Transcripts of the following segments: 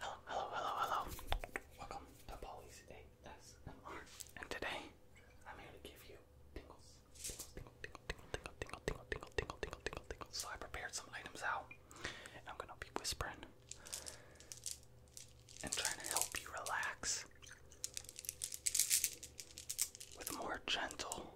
Hello, hello, hello, hello. Welcome to Polly's ASMR. And today, I'm here to give you tingles. Tingles, tingle, tingle, tingle, tingle, tingle, tingle, tingle, tingle, tingle, tingle, tingle. So I prepared some items out, and I'm gonna be whispering and trying to help you relax with more gentle,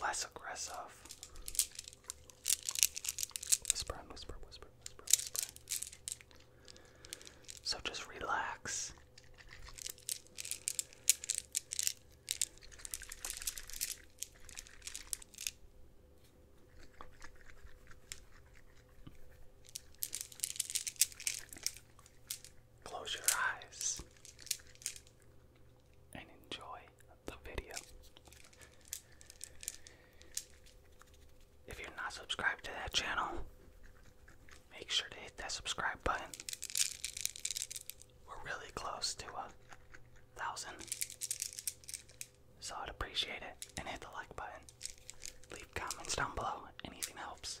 less aggressive Whisper whisper, whisper, whisper. So just relax. Close your eyes and enjoy the video. If you're not subscribed to that channel, make sure to hit that subscribe button. We're really close to a thousand. So I'd appreciate it and hit the like button. Leave comments down below, anything helps.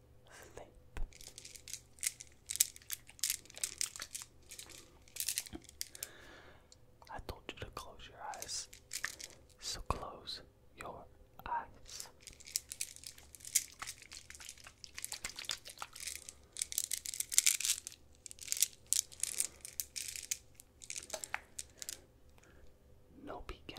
I told you to close your eyes, so close your eyes. No peeking.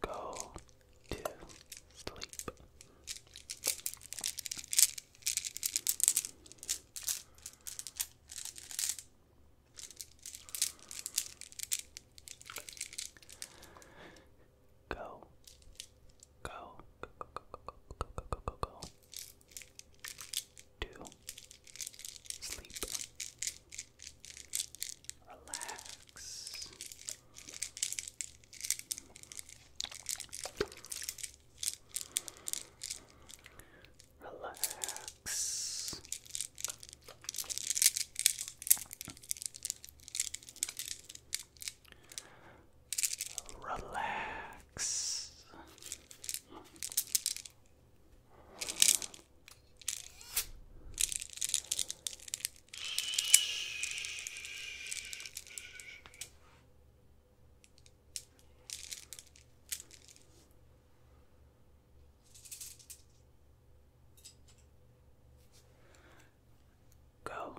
Go to sleep. Go. Go. Go. Go. Go. Go. Go. Go to sleep, relax. Relax. Relax relax. Go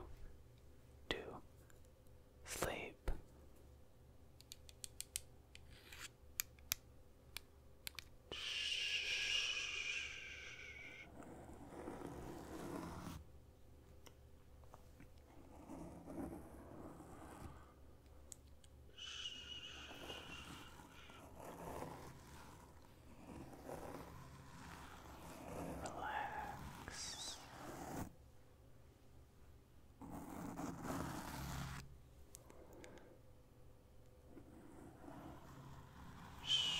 to sleep. Relax. Go to sleep. Shh.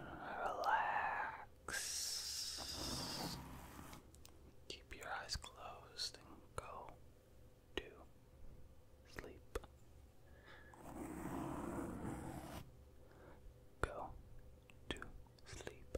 Relax. Keep your eyes closed and go to sleep. Go to sleep.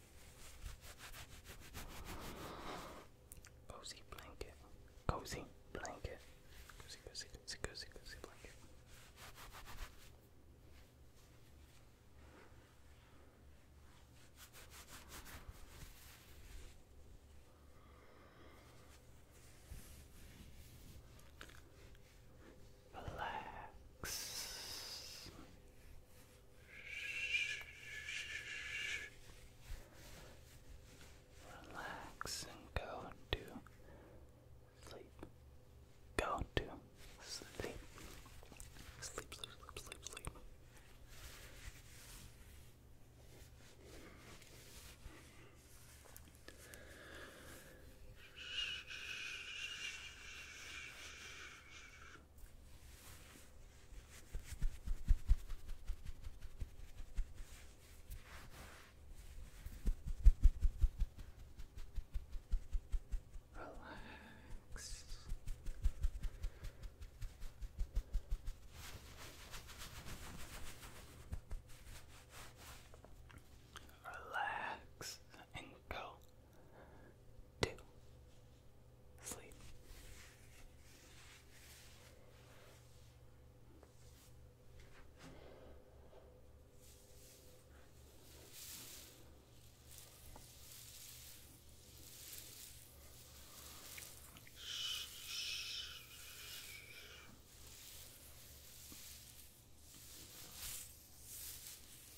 Cozy blanket. Cozy blanket. Cozy, cozy, cozy, cozy, cozy blanket. Relax. Relax and go to sleep. Go to sleep. Sleep, sleep, sleep, sleep, sleep. Relax. Relax and go to sleep. Shh.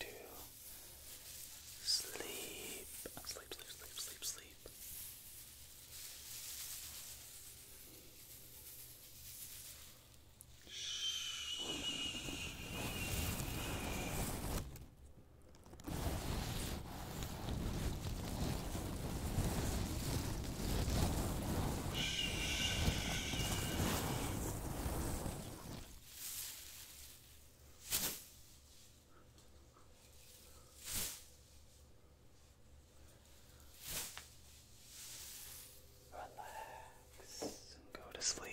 to sleep. Sleep, sleep, sleep, sleep, sleep. Shh. Shh. Relax and go to sleep.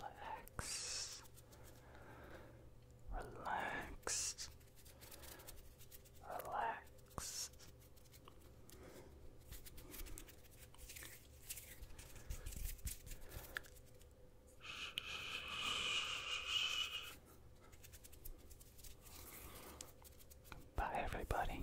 Relax. Relax. Relax. Bye, everybody.